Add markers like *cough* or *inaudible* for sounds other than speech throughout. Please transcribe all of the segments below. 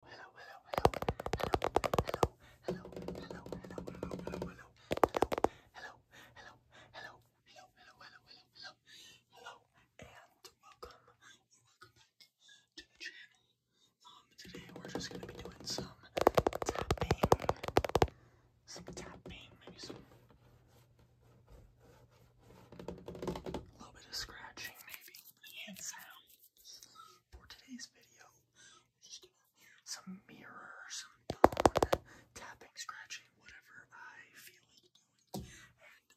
hello, hello, hello, hello, hello, hello, hello, hello, hello, hello, hello, hello, hello, hello, hello, hello, hello, hello, and welcome, welcome back to the channel. Um, today we're just gonna be doing some tapping, some tapping, maybe some, a little bit of scratching, maybe hand sounds for today's video, I'm just going some mirror, tapping, scratching, whatever I feel like doing.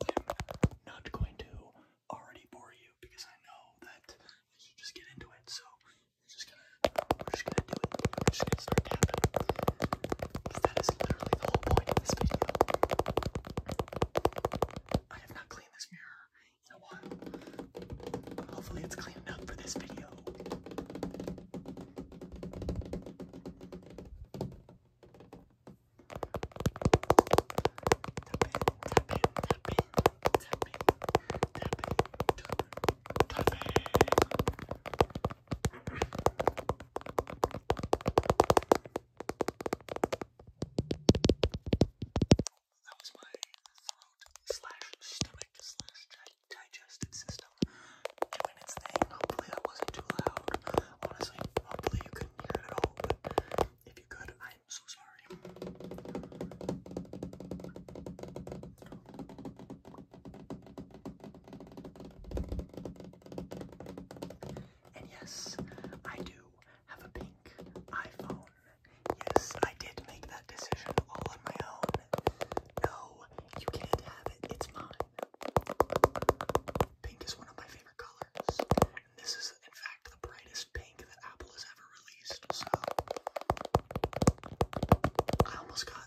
And I'm not going to already bore you because I know that I should just get into it. So we're just gonna we're just gonna do it. We're just gonna start tapping. That is literally the whole point of this video. I have not cleaned this mirror you uh, know what? Hopefully it's cleaned up for this video. Tapping, tapping, tapping, tapping, tapping, tapping, tapping that was my throat slash stomach slash digestive system doing its thing. Hopefully that wasn't too loud. Honestly, hopefully you couldn't hear it at all, but if you could, I'm so sorry. And yes, I do have a pink iPhone. Yes, I did make that decision all on my own. No, you can't have it. It's mine. Pink is one of my favorite colors. And this is, in fact, the brightest pink that Apple has ever released. So, I almost got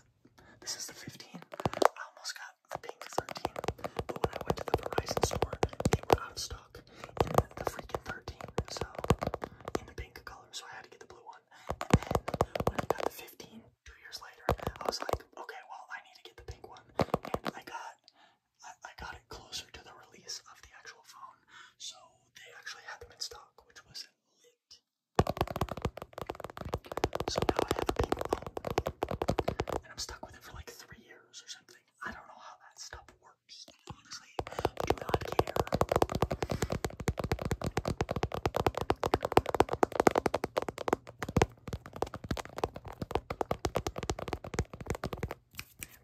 this is the 15. I almost got the pink 13, but when I went to the Verizon store, they were out of stock the freaking 13, so in the pink color, so I had to get the blue one. And then when I got the 15, two years later, I was like, okay, well, I need to get the pink one. And I got I, got it closer to the release of the actual phone, so they actually had them in stock, which was lit. So now I have a pink phone, and I'm stuck with it for like three years or something. I don't know how that stuff works. Just falling Do not care.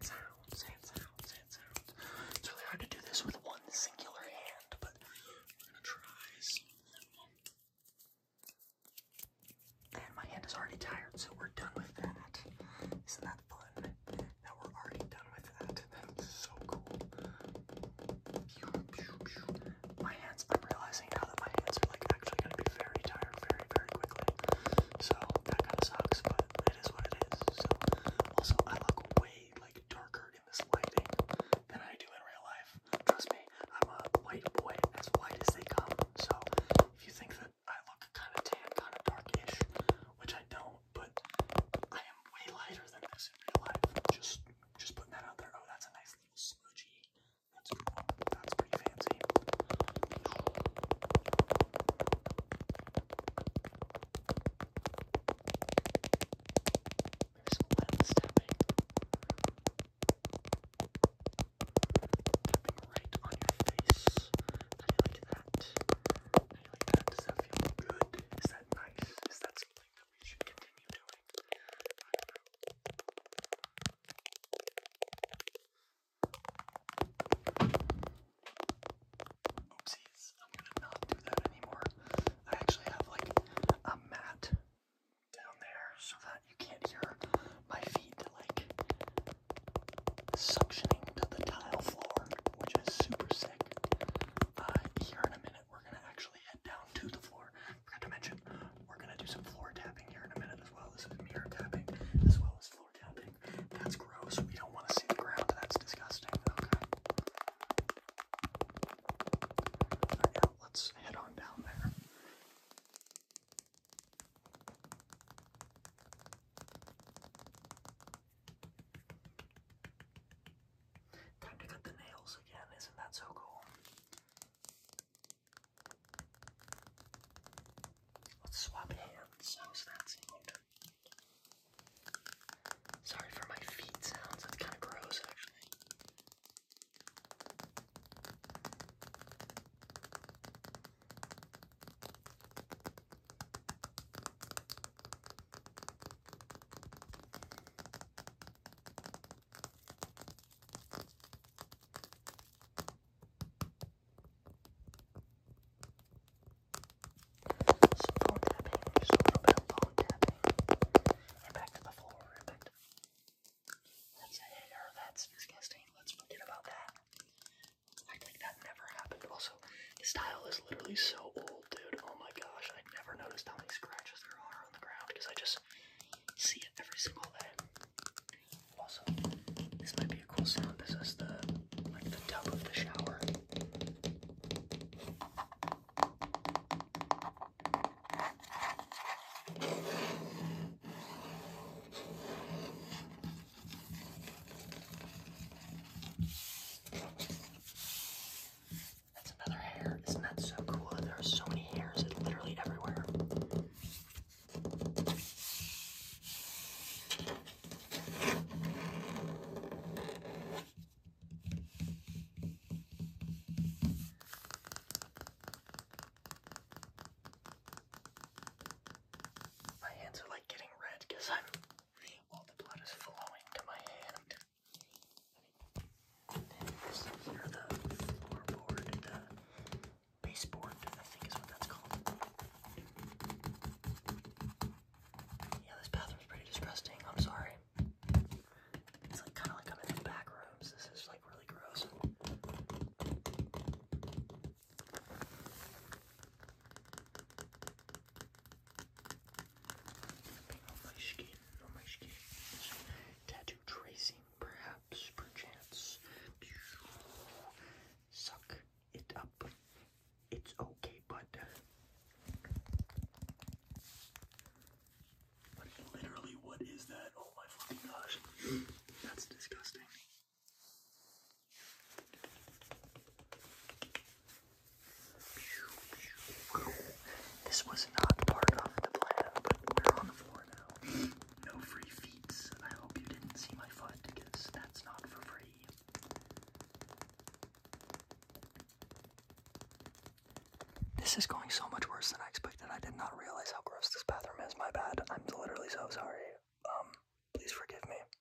Sand sounds, sand sounds, sand sounds. It's really hard to do this with one singular hand, but we're gonna try And my hand is already tired, so we're done with that. Isn't that fun? Now we're already done with that. That so cool. My hands, I'm realizing now that my hands are like actually gonna be very tired very, very quickly. So that kind of sucks, but it is what it is. So also I look way like darker in this lighting than I do in real life. Trust me, I'm a white boy as white as they come. So if you think that I look kind of tan, kind of darkish, which I don't, but I am way lighter than this in real life. Just, just putting that out there. Oh, that's a nice little smudgy. That's cool. That's pretty fancy. There's some lens tapping. Tapping right on your face. How you like that? Does that feel good? Is that nice? Is that something that we should continue doing? Oopsies, I'm gonna not do that anymore. I actually have like a mat down there so that you can't hear my feet like suctioning to the tile floor, which is super sick. Uh, here in a minute, we're gonna actually head down to the floor. Forgot to mention, we're gonna do some floor tapping here in a minute as well. This is mirror tapping as well as floor tapping. That's gross. We don't want to see the ground. That's disgusting. Okay. let's head on down there. Time to cut the nails again, isn't that so cool? Let's swap hands. How's that sound? Sorry for my feet sounds, that's kind of gross actually. Some more tapping, just tapping. back to the floor, That's a hair, that's disgusting. Let's forget about that. Act like that never happened. Also, the style is literally so old, dude. Oh my gosh, I never noticed how many scratches there are on the ground because I just see it every single day. Also, this might be a cool sound. This is the like the tub of the shower. That's another hair. Isn't that so cool? There are so many hairs literally everywhere. My hands are like getting red because I'm all the blood is flowing to my hand. And then this here, the floorboard, the baseboard, I think is what that's called. Yeah, this bathroom's pretty disgusting. I'm sorry. It's like kind of like i in back rooms. This is like really gross. On my skin, on my skin. Tattoo tracing, perhaps, perchance. Suck it up. It's okay, bud. Like, literally, what is that? Oh my fucking gosh. *gasps* That's disgusting. This was not part of the plan, we're on the floor now. No free feats. I hope you didn't see my foot because that's not for free. This is going so much worse than I expected. I did not realize how gross this bathroom is. My bad. I'm literally so sorry. Um, please forgive me.